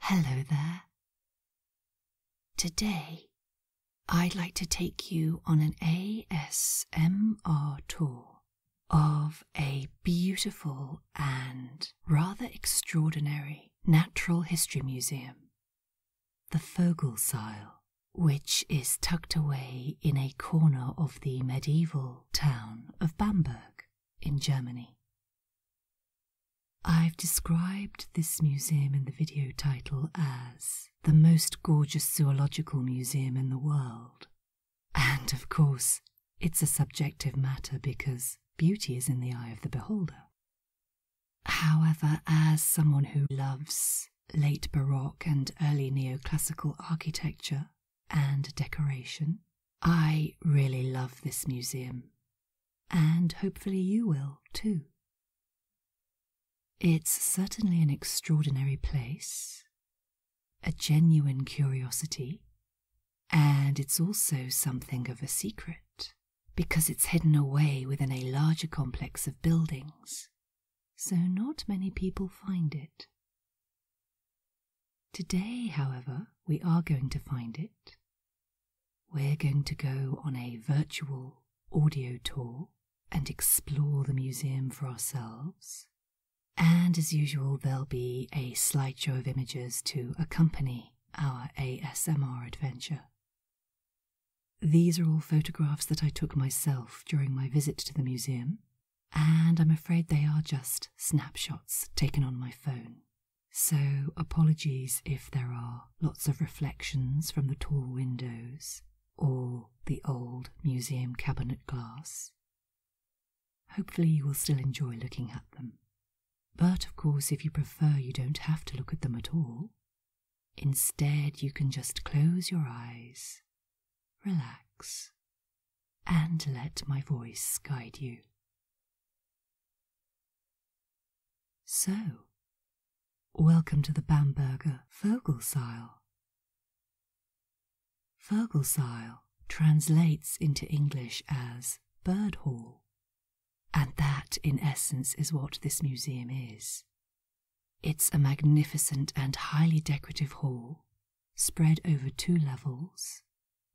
Hello there. Today, I'd like to take you on an ASMR tour of a beautiful and rather extraordinary natural history museum, the Vogelsile, which is tucked away in a corner of the medieval town of Bamberg in Germany. I've described this museum in the video title as the most gorgeous zoological museum in the world. And of course, it's a subjective matter because beauty is in the eye of the beholder. However, as someone who loves late Baroque and early neoclassical architecture, and decoration. I really love this museum, and hopefully you will too. It's certainly an extraordinary place, a genuine curiosity, and it's also something of a secret because it's hidden away within a larger complex of buildings, so not many people find it. Today, however, we are going to find it. We're going to go on a virtual audio tour and explore the museum for ourselves. And as usual, there'll be a slideshow of images to accompany our ASMR adventure. These are all photographs that I took myself during my visit to the museum, and I'm afraid they are just snapshots taken on my phone. So, apologies if there are lots of reflections from the tall windows or the old museum cabinet glass. Hopefully, you will still enjoy looking at them. But of course, if you prefer, you don't have to look at them at all. Instead, you can just close your eyes, relax, and let my voice guide you. So, welcome to the Bamberger Vogelsaal. Vogelsaal translates into English as bird hall, and that in essence is what this museum is. It's a magnificent and highly decorative hall spread over two levels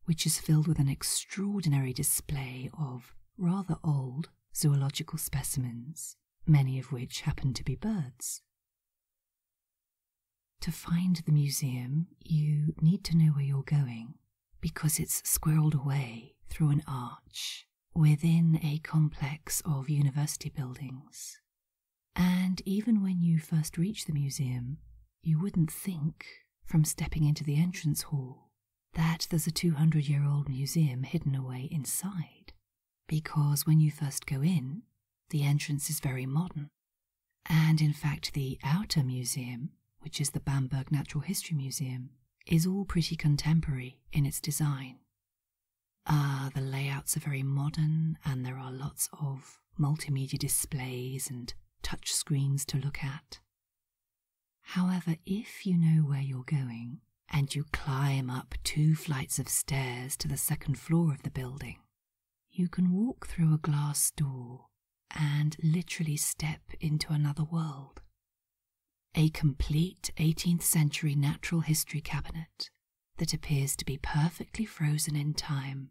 which is filled with an extraordinary display of rather old zoological specimens, many of which happen to be birds. To find the museum, you need to know where you're going because it's squirreled away through an arch within a complex of university buildings and even when you first reach the museum, you wouldn't think, from stepping into the entrance hall, that there's a 200 year old museum hidden away inside. Because when you first go in, the entrance is very modern. And in fact, the outer museum, which is the Bamberg Natural History Museum, is all pretty contemporary in its design. Ah, the layouts are very modern, and there are lots of multimedia displays and touch screens to look at. However, if you know where you're going and you climb up two flights of stairs to the second floor of the building, you can walk through a glass door and literally step into another world. A complete 18th century natural history cabinet that appears to be perfectly frozen in time.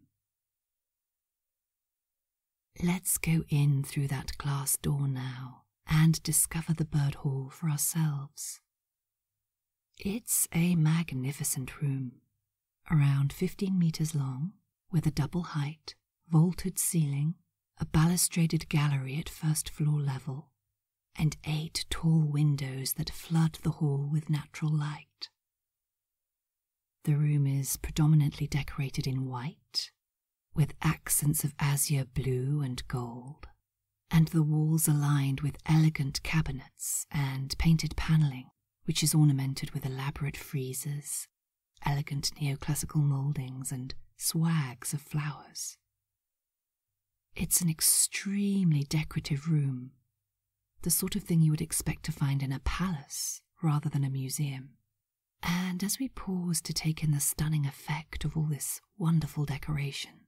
Let's go in through that glass door now and discover the bird hall for ourselves. It's a magnificent room, around 15 meters long, with a double height, vaulted ceiling, a balustraded gallery at first floor level, and eight tall windows that flood the hall with natural light. The room is predominantly decorated in white, with accents of azure blue and gold, and the walls are lined with elegant cabinets and painted panelling, which is ornamented with elaborate friezes, elegant neoclassical mouldings, and swags of flowers. It's an extremely decorative room the sort of thing you would expect to find in a palace rather than a museum. And as we pause to take in the stunning effect of all this wonderful decoration,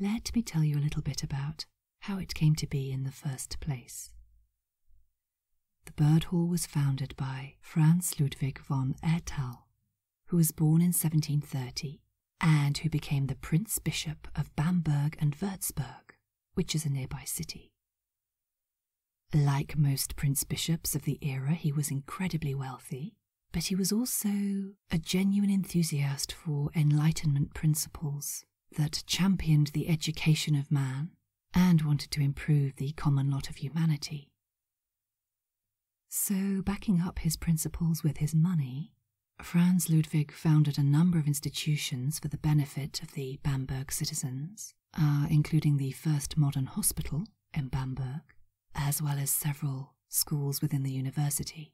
let me tell you a little bit about how it came to be in the first place. The Bird Hall was founded by Franz Ludwig von Ertel, who was born in 1730 and who became the Prince Bishop of Bamberg and Würzburg which is a nearby city. Like most prince bishops of the era, he was incredibly wealthy, but he was also a genuine enthusiast for Enlightenment principles that championed the education of man and wanted to improve the common lot of humanity. So, backing up his principles with his money, Franz Ludwig founded a number of institutions for the benefit of the Bamberg citizens uh, including the first modern hospital in Bamberg, as well as several schools within the university.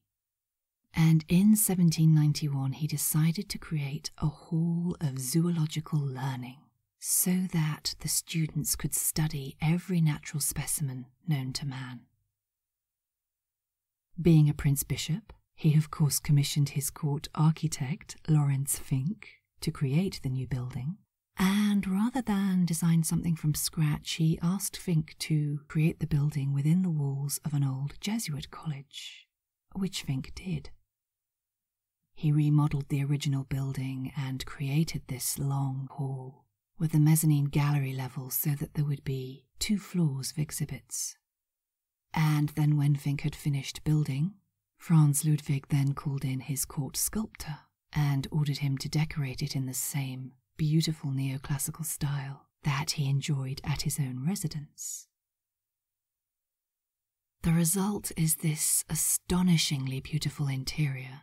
And in 1791, he decided to create a hall of zoological learning so that the students could study every natural specimen known to man. Being a Prince Bishop, he of course commissioned his court architect, Lawrence Fink, to create the new building. And rather than design something from scratch, he asked Fink to create the building within the walls of an old Jesuit college, which Fink did. He remodeled the original building and created this long hall with a mezzanine gallery level so that there would be two floors of exhibits and then, when Fink had finished building, Franz Ludwig then called in his court sculptor and ordered him to decorate it in the same beautiful neoclassical style that he enjoyed at his own residence. The result is this astonishingly beautiful interior,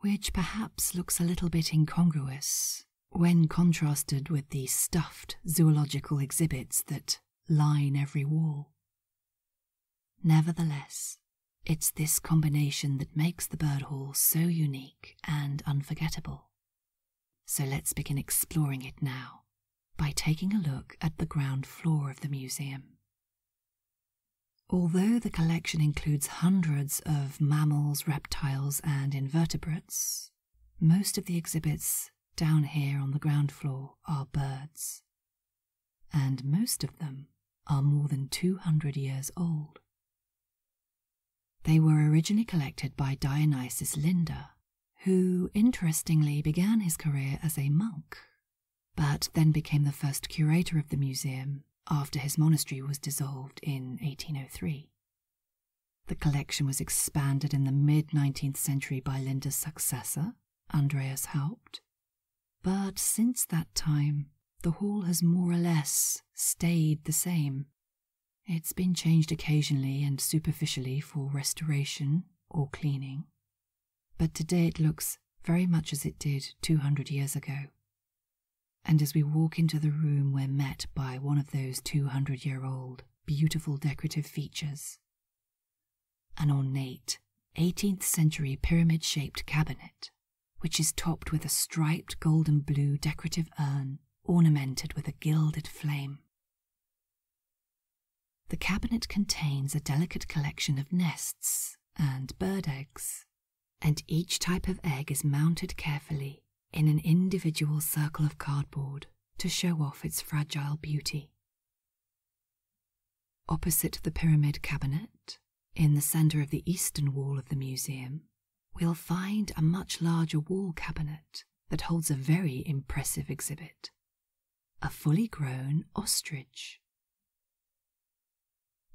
which perhaps looks a little bit incongruous when contrasted with the stuffed zoological exhibits that line every wall. Nevertheless, it's this combination that makes the bird hall so unique and unforgettable. So let's begin exploring it now by taking a look at the ground floor of the museum. Although the collection includes hundreds of mammals, reptiles, and invertebrates, most of the exhibits down here on the ground floor are birds, and most of them are more than 200 years old. They were originally collected by Dionysius Linda, who interestingly began his career as a monk, but then became the first curator of the museum after his monastery was dissolved in 1803. The collection was expanded in the mid 19th century by Linde's successor, Andreas Haupt. But since that time, the hall has more or less stayed the same. It's been changed occasionally and superficially for restoration or cleaning, but today it looks very much as it did 200 years ago. And as we walk into the room, we're met by one of those 200 year old beautiful decorative features. An ornate 18th century pyramid shaped cabinet, which is topped with a striped gold and blue decorative urn ornamented with a gilded flame. The cabinet contains a delicate collection of nests and bird eggs, and each type of egg is mounted carefully in an individual circle of cardboard to show off its fragile beauty. Opposite the pyramid cabinet, in the centre of the eastern wall of the museum, we'll find a much larger wall cabinet that holds a very impressive exhibit a fully grown ostrich.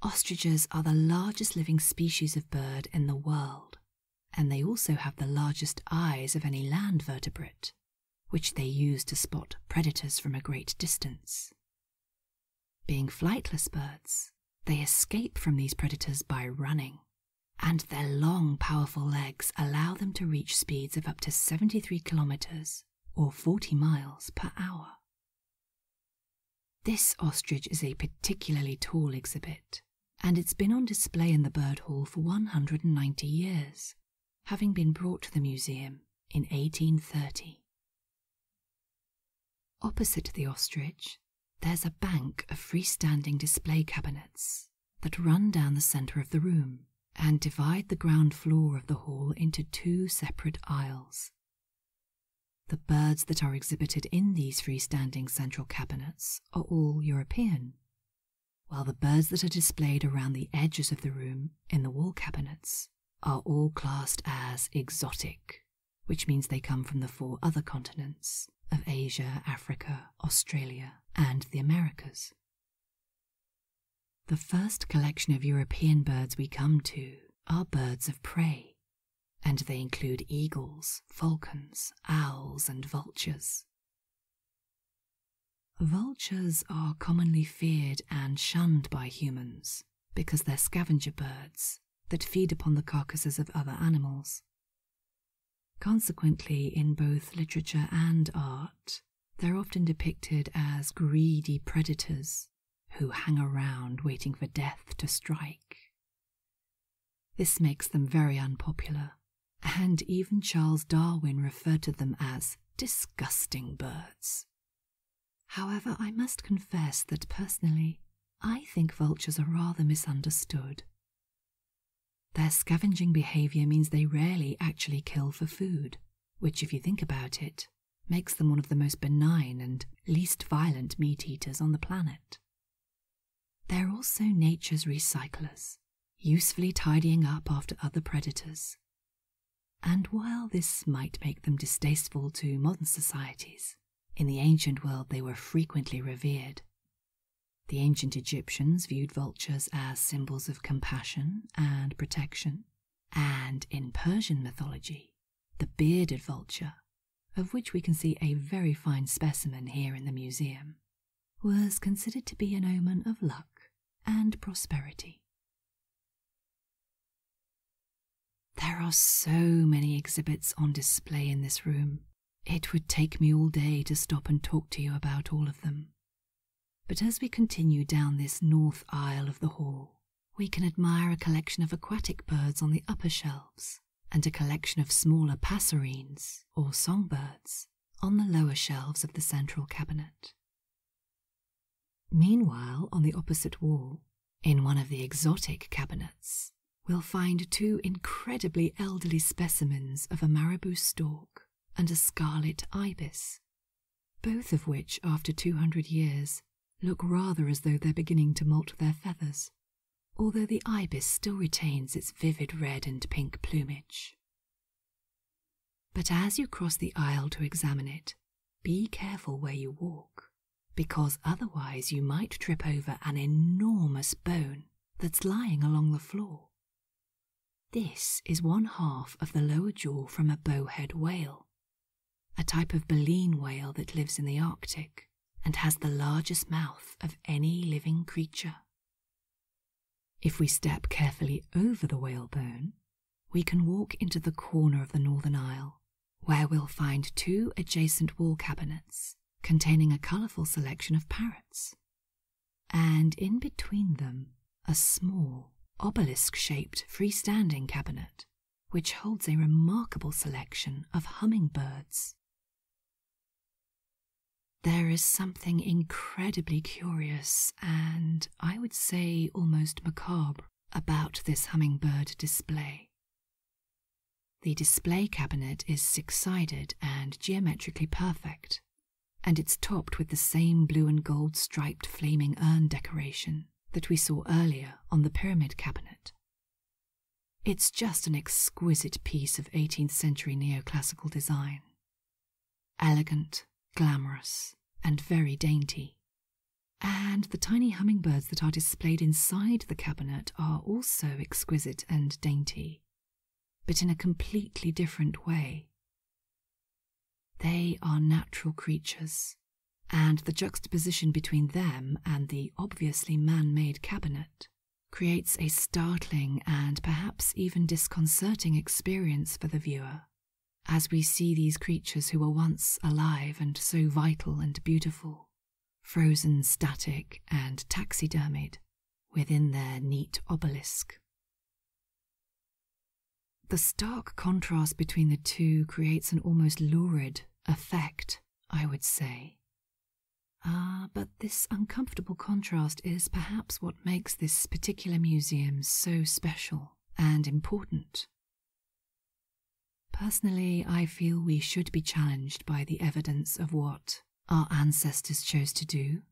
Ostriches are the largest living species of bird in the world and they also have the largest eyes of any land vertebrate, which they use to spot predators from a great distance. Being flightless birds, they escape from these predators by running, and their long, powerful legs allow them to reach speeds of up to 73 kilometers or 40 miles per hour. This ostrich is a particularly tall exhibit, and it's been on display in the Bird Hall for 190 years, having been brought to the museum in 1830. Opposite the ostrich, there's a bank of freestanding display cabinets that run down the centre of the room and divide the ground floor of the hall into two separate aisles. The birds that are exhibited in these freestanding central cabinets are all European, while the birds that are displayed around the edges of the room in the wall cabinets are all classed as exotic, which means they come from the four other continents of Asia, Africa, Australia, and the Americas. The first collection of European birds we come to are birds of prey, and they include eagles, falcons, owls, and vultures vultures. are commonly feared and shunned by humans because they're scavenger birds that feed upon the carcasses of other animals. Consequently, in both literature and art, they're often depicted as greedy predators who hang around waiting for death to strike this makes them very unpopular, and even Charles Darwin referred to them as disgusting birds. However, I must confess that personally, I think vultures are rather misunderstood. Their scavenging behavior means they rarely actually kill for food, which, if you think about it, makes them one of the most benign and least violent meat eaters on the planet. They're also nature's recyclers, usefully tidying up after other predators. And while this might make them distasteful to modern societies, in the ancient world they were frequently revered. The ancient Egyptians viewed vultures as symbols of compassion and protection, and in Persian mythology, the bearded vulture of which we can see a very fine specimen here in the museum, was considered to be an omen of luck and prosperity. There are so many exhibits on display in this room. It would take me all day to stop and talk to you about all of them. But as we continue down this north aisle of the hall, we can admire a collection of aquatic birds on the upper shelves, and a collection of smaller passerines, or songbirds, on the lower shelves of the central cabinet. Meanwhile, on the opposite wall, in one of the exotic cabinets, we'll find two incredibly elderly specimens of a marabou stork and a scarlet ibis, both of which, after two hundred years, look rather as though they're beginning to molt their feathers although the ibis still retains its vivid red and pink plumage. But as you cross the aisle to examine it, be careful where you walk, because otherwise you might trip over an enormous bone that's lying along the floor. This is one half of the lower jaw from a bowhead whale, a type of baleen whale that lives in the Arctic and has the largest mouth of any living creature. If we step carefully over the whalebone, we can walk into the corner of the northern aisle, where we'll find two adjacent wall cabinets containing a colourful selection of parrots, and in between them a small, obelisk shaped freestanding cabinet which holds a remarkable selection of hummingbirds. There is something incredibly curious and I would say almost macabre about this hummingbird display. The display cabinet is six sided and geometrically perfect, and it's topped with the same blue and gold striped flaming urn decoration that we saw earlier on the pyramid cabinet. It's just an exquisite piece of 18th century neoclassical design. Elegant, glamorous, and very dainty. And the tiny hummingbirds that are displayed inside the cabinet are also exquisite and dainty, but in a completely different way. They are natural creatures, and the juxtaposition between them and the obviously man made cabinet creates a startling and perhaps even disconcerting experience for the viewer as we see these creatures who were once alive and so vital and beautiful, frozen static and taxidermied within their neat obelisk. The stark contrast between the two creates an almost lurid effect, I would say, Ah, but this uncomfortable contrast is perhaps what makes this particular museum so special and important. Personally, I feel we should be challenged by the evidence of what our ancestors chose to do.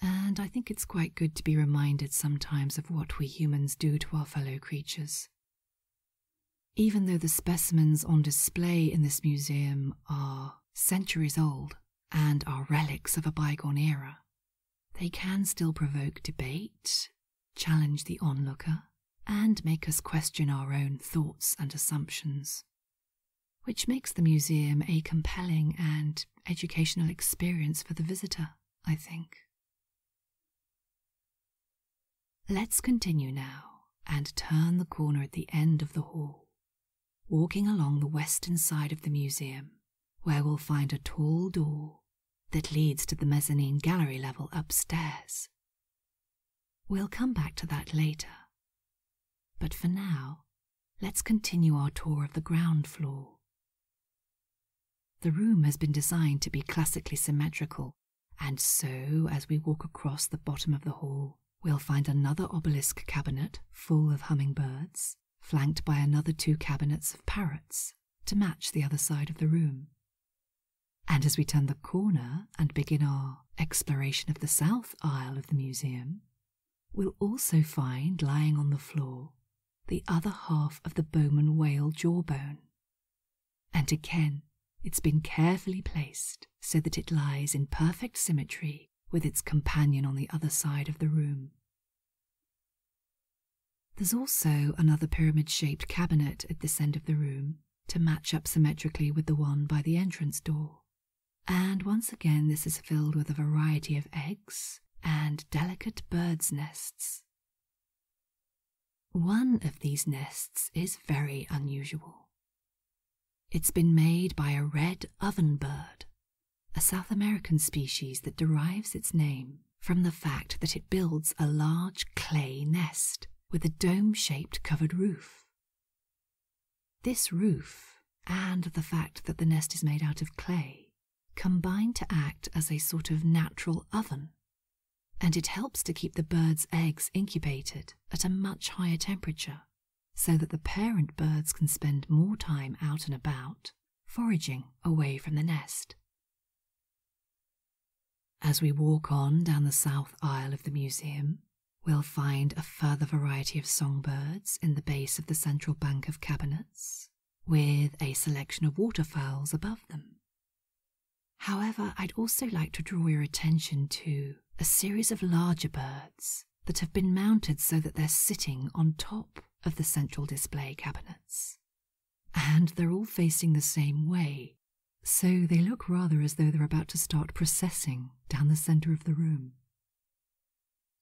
And I think it's quite good to be reminded sometimes of what we humans do to our fellow creatures. Even though the specimens on display in this museum are centuries old and are relics of a bygone era, they can still provoke debate, challenge the onlooker, and make us question our own thoughts and assumptions, which makes the museum a compelling and educational experience for the visitor, I think. Let's continue now and turn the corner at the end of the hall, walking along the western side of the museum, where we'll find a tall door that leads to the mezzanine gallery level upstairs. We'll come back to that later. But for now, let's continue our tour of the ground floor. The room has been designed to be classically symmetrical and so, as we walk across the bottom of the hall, we'll find another obelisk cabinet full of hummingbirds, flanked by another two cabinets of parrots to match the other side of the room. And as we turn the corner and begin our exploration of the south aisle of the museum, we'll also find lying on the floor the other half of the Bowman whale jawbone, and again, it's been carefully placed so that it lies in perfect symmetry with its companion on the other side of the room. There's also another pyramid shaped cabinet at this end of the room to match up symmetrically with the one by the entrance door. And once again, this is filled with a variety of eggs and delicate birds' nests. One of these nests is very unusual. It's been made by a red ovenbird, a South American species that derives its name from the fact that it builds a large clay nest with a dome shaped covered roof. This roof, and the fact that the nest is made out of clay, combine to act as a sort of natural oven and it helps to keep the bird's eggs incubated at a much higher temperature so that the parent birds can spend more time out and about, foraging away from the nest. As we walk on down the south aisle of the museum, we'll find a further variety of songbirds in the base of the central bank of cabinets, with a selection of waterfowls above them. However, I'd also like to draw your attention to a series of larger birds that have been mounted so that they're sitting on top of the central display cabinets. And they're all facing the same way, so they look rather as though they're about to start processing down the centre of the room.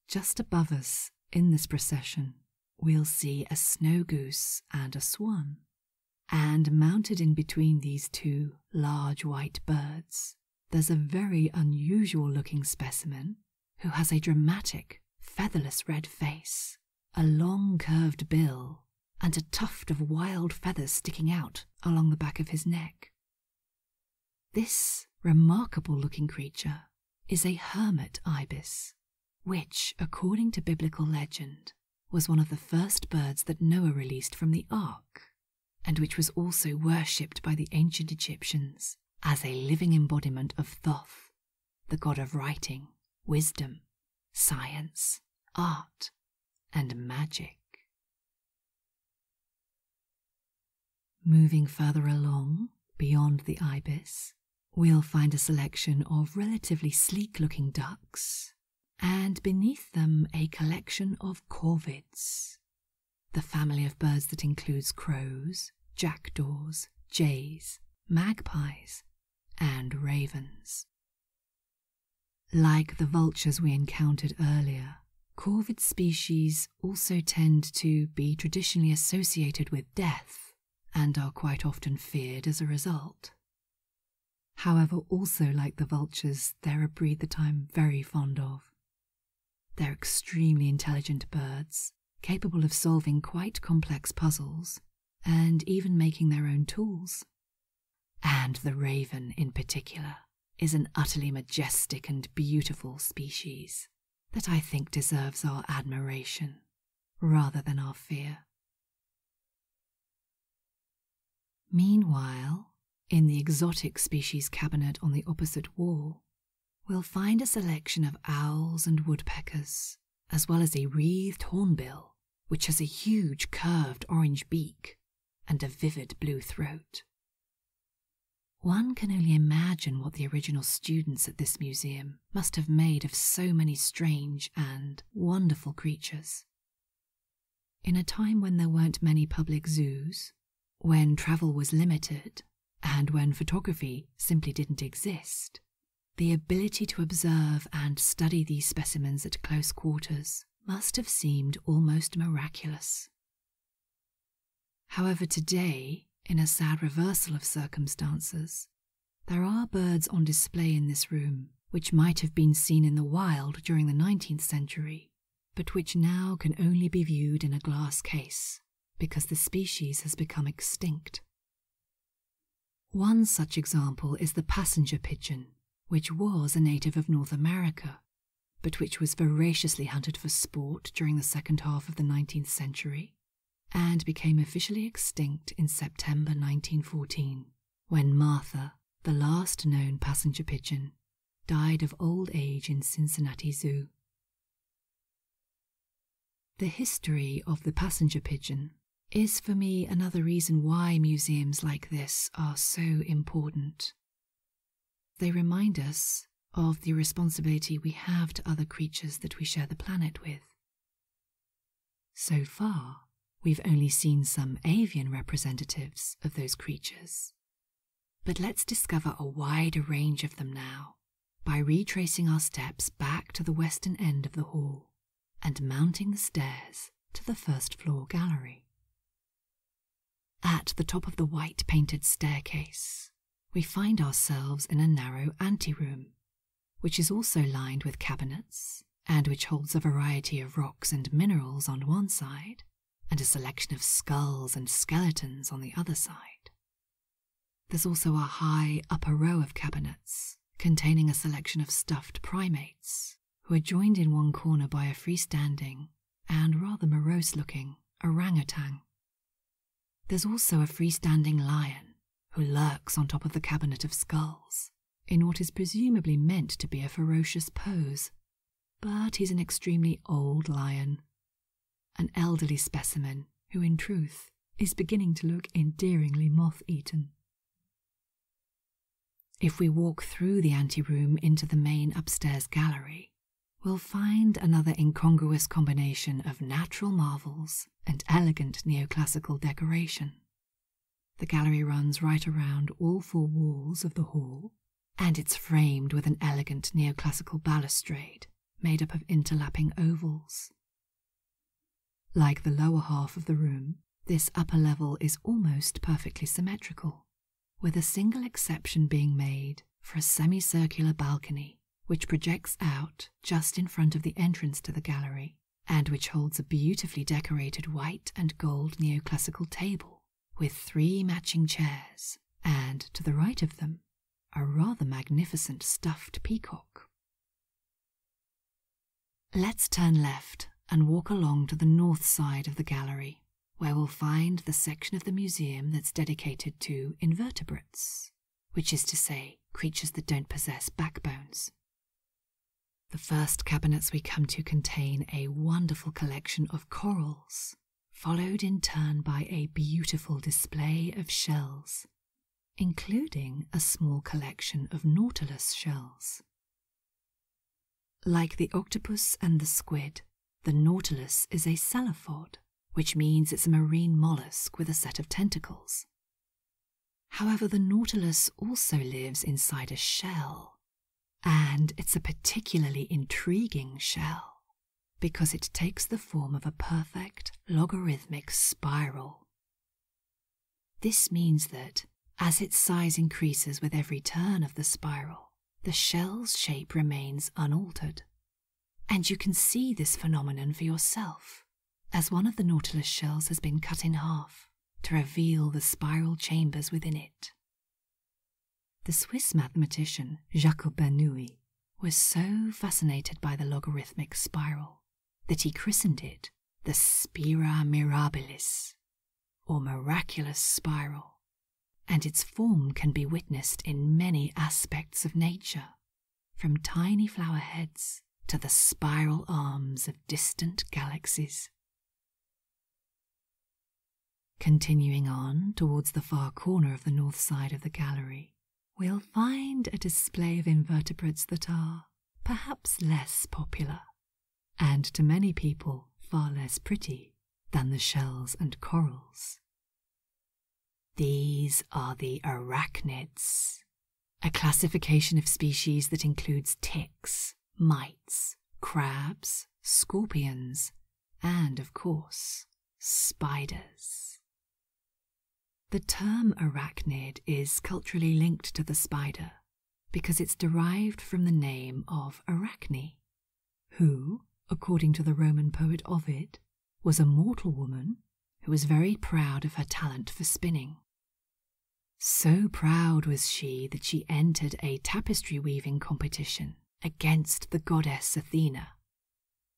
Just above us in this procession, we'll see a snow goose and a swan, and mounted in between these two large white birds, there's a very unusual looking specimen who has a dramatic, featherless red face, a long curved bill, and a tuft of wild feathers sticking out along the back of his neck. This remarkable looking creature is a hermit ibis, which, according to biblical legend, was one of the first birds that Noah released from the ark, and which was also worshipped by the ancient Egyptians as a living embodiment of Thoth, the god of writing, wisdom, science, art, and magic. Moving further along, beyond the ibis, we'll find a selection of relatively sleek looking ducks and beneath them a collection of corvids, the family of birds that includes crows, jackdaws, jays, magpies, and ravens. Like the vultures we encountered earlier, corvid species also tend to be traditionally associated with death and are quite often feared as a result. However, also like the vultures, they're a breed that I'm very fond of. They're extremely intelligent birds, capable of solving quite complex puzzles, and even making their own tools. And the raven, in particular, is an utterly majestic and beautiful species that I think deserves our admiration rather than our fear. Meanwhile, in the exotic species cabinet on the opposite wall, we'll find a selection of owls and woodpeckers, as well as a wreathed hornbill, which has a huge curved orange beak and a vivid blue throat. One can only imagine what the original students at this museum must have made of so many strange and wonderful creatures, in a time when there weren't many public zoos, when travel was limited, and when photography simply didn't exist, the ability to observe and study these specimens at close quarters must have seemed almost miraculous. However, today, in a sad reversal of circumstances, there are birds on display in this room which might have been seen in the wild during the 19th century, but which now can only be viewed in a glass case because the species has become extinct. One such example is the passenger pigeon, which was a native of North America, but which was voraciously hunted for sport during the second half of the 19th century and became officially extinct in September 1914 when Martha, the last known passenger pigeon, died of old age in Cincinnati Zoo. The history of the passenger pigeon is for me another reason why museums like this are so important. They remind us of the responsibility we have to other creatures that we share the planet with. So far, we've only seen some avian representatives of those creatures. But let's discover a wider range of them now by retracing our steps back to the western end of the hall and mounting the stairs to the first floor gallery. At the top of the white painted staircase, we find ourselves in a narrow anteroom which is also lined with cabinets and which holds a variety of rocks and minerals on one side and a selection of skulls and skeletons on the other side. There's also a high upper row of cabinets containing a selection of stuffed primates who are joined in one corner by a freestanding and rather morose looking orangutan. There's also a freestanding lion who lurks on top of the cabinet of skulls in what is presumably meant to be a ferocious pose. But he's an extremely old lion, an elderly specimen who, in truth, is beginning to look endearingly moth eaten. If we walk through the anteroom into the main upstairs gallery, we'll find another incongruous combination of natural marvels and elegant neoclassical decoration. The gallery runs right around all four walls of the hall, and it's framed with an elegant neoclassical balustrade made up of interlapping ovals. Like the lower half of the room, this upper level is almost perfectly symmetrical, with a single exception being made for a semicircular balcony which projects out just in front of the entrance to the gallery and which holds a beautifully decorated white and gold neoclassical table with three matching chairs, and to the right of them, a rather magnificent stuffed peacock. Let's turn left and walk along to the north side of the gallery, where we'll find the section of the museum that's dedicated to invertebrates, which is to say, creatures that don't possess backbones. The first cabinets we come to contain a wonderful collection of corals, followed in turn by a beautiful display of shells, including a small collection of nautilus shells. Like the octopus and the squid, the nautilus is a cephalophod, which means it's a marine mollusk with a set of tentacles. However, the nautilus also lives inside a shell, and it's a particularly intriguing shell because it takes the form of a perfect logarithmic spiral. This means that, as its size increases with every turn of the spiral, the shell's shape remains unaltered. And you can see this phenomenon for yourself as one of the Nautilus shells has been cut in half to reveal the spiral chambers within it. The Swiss mathematician Jacob Bernoulli was so fascinated by the logarithmic spiral that he christened it the Spira Mirabilis, or miraculous spiral, and its form can be witnessed in many aspects of nature, from tiny flower heads to the spiral arms of distant galaxies. Continuing on towards the far corner of the north side of the gallery, we'll find a display of invertebrates that are perhaps less popular, and to many people far less pretty than the shells and corals. These are the arachnids, a classification of species that includes ticks, mites, crabs, scorpions, and of course, spiders. The term arachnid is culturally linked to the spider because it's derived from the name of Arachne, who, according to the Roman poet Ovid, was a mortal woman who was very proud of her talent for spinning so proud was she that she entered a tapestry weaving competition against the goddess Athena.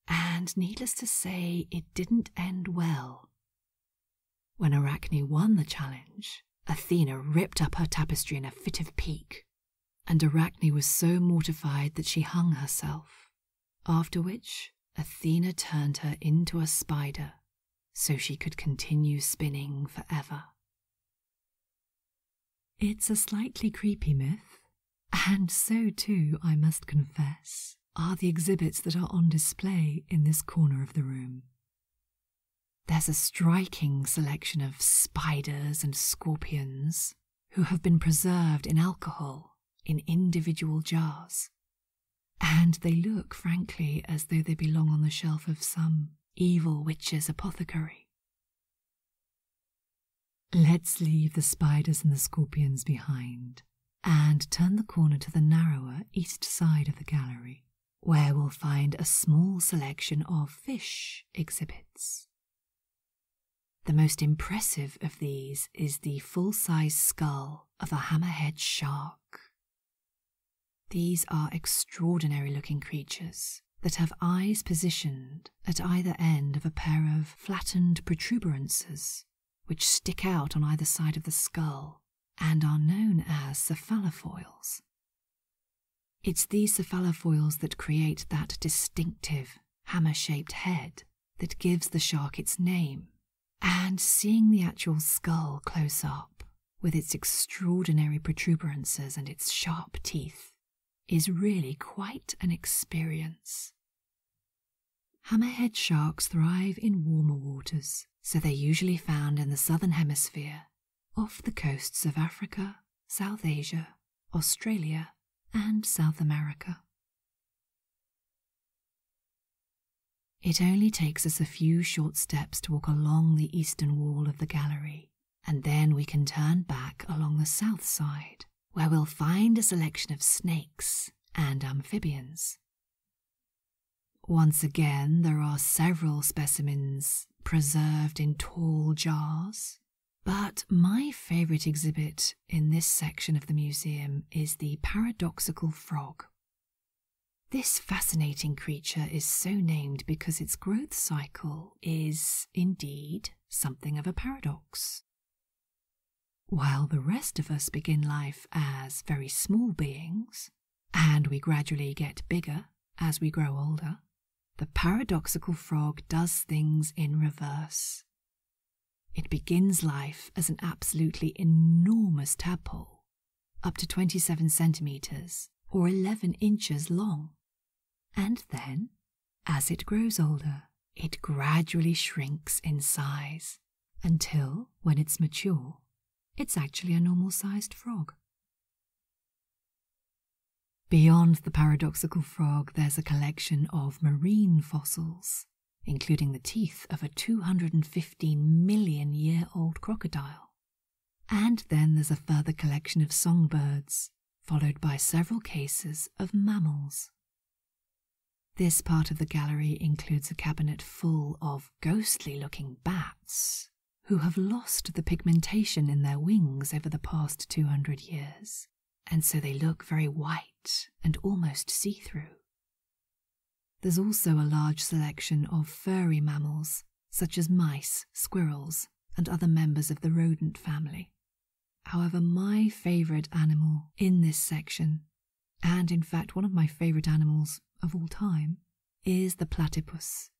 And needless to say, it didn't end well. When Arachne won the challenge, Athena ripped up her tapestry in a fit of pique, and Arachne was so mortified that she hung herself, after which Athena turned her into a spider so she could continue spinning for ever. It's a slightly creepy myth, and so too, I must confess, are the exhibits that are on display in this corner of the room. There's a striking selection of spiders and scorpions who have been preserved in alcohol in individual jars and they look, frankly, as though they belong on the shelf of some evil witch's apothecary. Let's leave the spiders and the scorpions behind and turn the corner to the narrower east side of the gallery, where we'll find a small selection of fish exhibits. The most impressive of these is the full size skull of a hammerhead shark. These are extraordinary looking creatures that have eyes positioned at either end of a pair of flattened protuberances which stick out on either side of the skull and are known as cephalofoils. It's these cephalofoils that create that distinctive hammer shaped head that gives the shark its name and seeing the actual skull close up with its extraordinary protuberances and its sharp teeth is really quite an experience. Hammerhead sharks thrive in warmer waters, so they're usually found in the southern hemisphere, off the coasts of Africa, South Asia, Australia, and South America. It only takes us a few short steps to walk along the eastern wall of the gallery, and then we can turn back along the south side, where we'll find a selection of snakes and amphibians. Once again, there are several specimens preserved in tall jars. But my favourite exhibit in this section of the museum is the paradoxical frog, this fascinating creature is so named because its growth cycle is indeed something of a paradox. While the rest of us begin life as very small beings, and we gradually get bigger as we grow older, the paradoxical frog does things in reverse. It begins life as an absolutely enormous tadpole, up to 27 centimeters or 11 inches long. And then, as it grows older, it gradually shrinks in size until, when it's mature, it's actually a normal sized frog. Beyond the paradoxical frog, there's a collection of marine fossils, including the teeth of a 215 million year old crocodile. And then there's a further collection of songbirds, followed by several cases of mammals. This part of the gallery includes a cabinet full of ghostly looking bats who have lost the pigmentation in their wings over the past 200 years, and so they look very white and almost see through. There's also a large selection of furry mammals, such as mice, squirrels, and other members of the rodent family. However, my favourite animal in this section, and in fact one of my favourite animals of all time, is the platypus.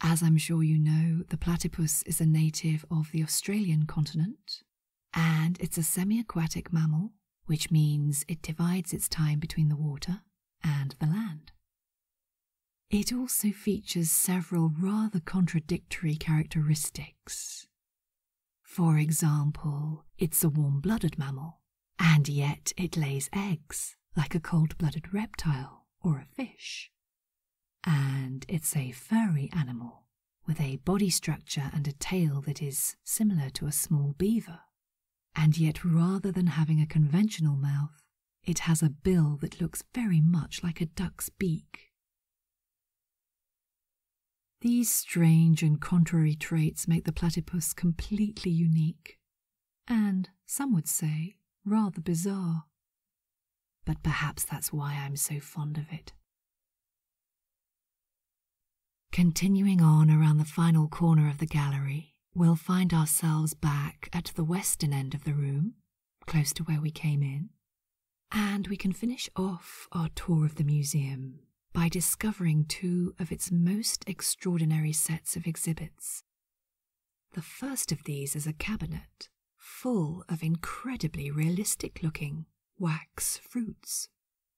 As I'm sure you know, the platypus is a native of the Australian continent and it's a semi aquatic mammal, which means it divides its time between the water and the land. It also features several rather contradictory characteristics. For example, it's a warm blooded mammal, and yet it lays eggs like a cold blooded reptile or a fish. And it's a furry animal, with a body structure and a tail that is similar to a small beaver. And yet, rather than having a conventional mouth, it has a bill that looks very much like a duck's beak. These strange and contrary traits make the platypus completely unique, and some would say rather bizarre. But perhaps that's why I'm so fond of it. Continuing on around the final corner of the gallery, we'll find ourselves back at the western end of the room, close to where we came in, and we can finish off our tour of the museum by discovering two of its most extraordinary sets of exhibits. The first of these is a cabinet full of incredibly realistic looking wax fruits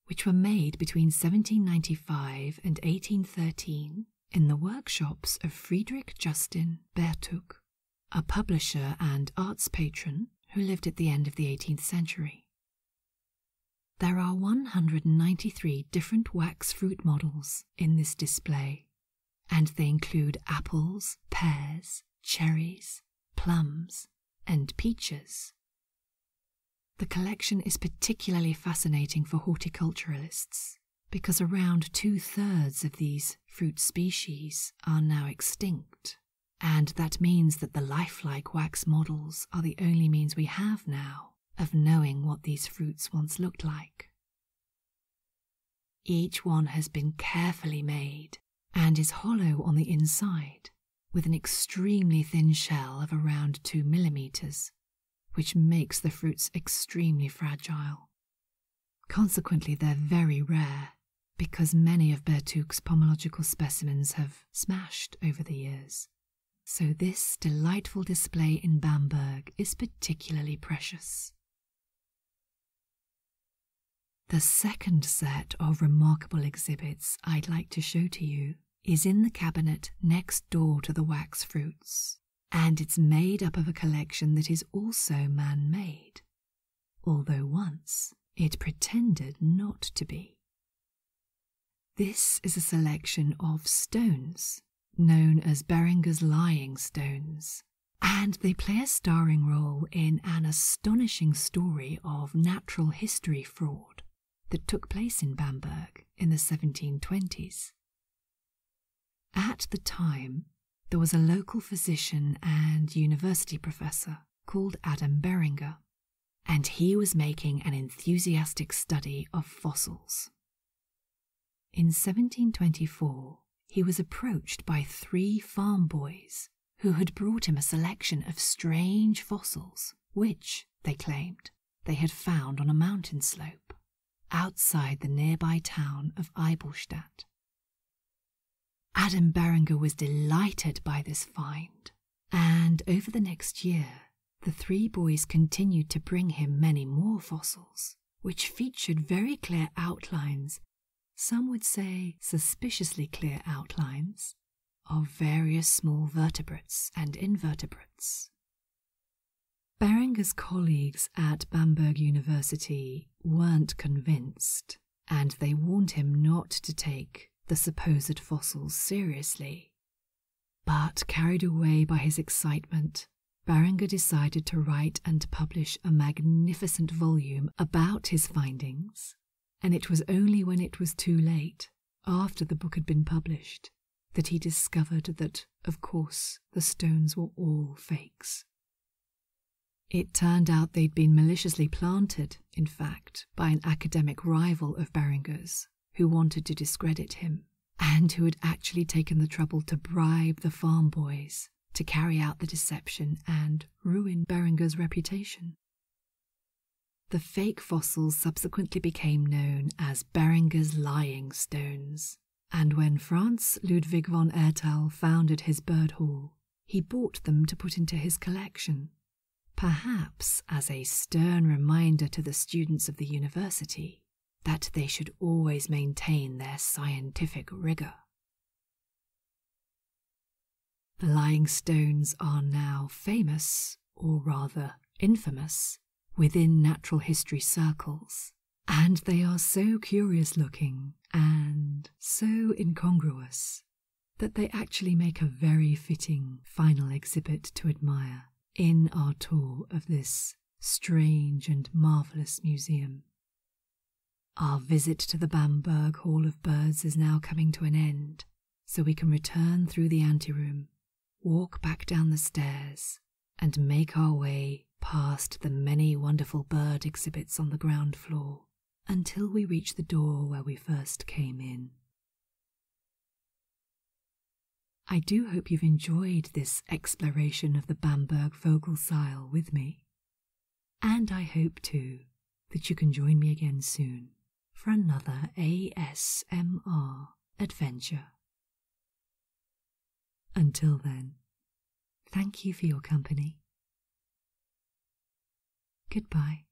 which were made between 1795 and 1813 in the workshops of Friedrich Justin Bertuch, a publisher and arts patron who lived at the end of the 18th century. There are 193 different wax fruit models in this display, and they include apples, pears, cherries, plums, and peaches, the collection is particularly fascinating for horticulturalists because around two thirds of these fruit species are now extinct, and that means that the lifelike wax models are the only means we have now of knowing what these fruits once looked like. Each one has been carefully made and is hollow on the inside with an extremely thin shell of around 2 millimeters, which makes the fruits extremely fragile. Consequently, they're very rare because many of Bertuk's pomological specimens have smashed over the years. So, this delightful display in Bamberg is particularly precious. The second set of remarkable exhibits I'd like to show to you is in the cabinet next door to the wax fruits, and it's made up of a collection that is also man made, although once it pretended not to be. This is a selection of stones known as Berenger's lying stones, and they play a starring role in an astonishing story of natural history fraud that took place in Bamberg in the 1720s. At the time, there was a local physician and university professor called Adam Beringer, and he was making an enthusiastic study of fossils. In 1724, he was approached by three farm boys who had brought him a selection of strange fossils, which, they claimed, they had found on a mountain slope outside the nearby town of Eibolstadt. Adam Berenger was delighted by this find, and over the next year, the three boys continued to bring him many more fossils, which featured very clear outlines, some would say suspiciously clear outlines, of various small vertebrates and invertebrates. Beringer's colleagues at Bamberg University weren't convinced, and they warned him not to take the supposed fossils seriously. But carried away by his excitement, Beringer decided to write and publish a magnificent volume about his findings and it was only when it was too late, after the book had been published, that he discovered that, of course, the stones were all fakes. It turned out they'd been maliciously planted, in fact, by an academic rival of Berenger's who wanted to discredit him, and who had actually taken the trouble to bribe the farm boys to carry out the deception and ruin Berenger's reputation. The fake fossils subsequently became known as Beringer's lying stones, and when Franz Ludwig von Ertel founded his bird hall, he bought them to put into his collection, perhaps as a stern reminder to the students of the university that they should always maintain their scientific rigor. The lying stones are now famous, or rather infamous, within natural history circles, and they are so curious looking and so incongruous that they actually make a very fitting final exhibit to admire in our tour of this strange and marvellous museum. Our visit to the Bamberg Hall of Birds is now coming to an end, so we can return through the anteroom, walk back down the stairs, and make our way past the many wonderful bird exhibits on the ground floor until we reach the door where we first came in. I do hope you've enjoyed this exploration of the Bamberg Vogelsaal with me. And I hope too that you can join me again soon for another ASMR adventure. Until then, thank you for your company. Goodbye.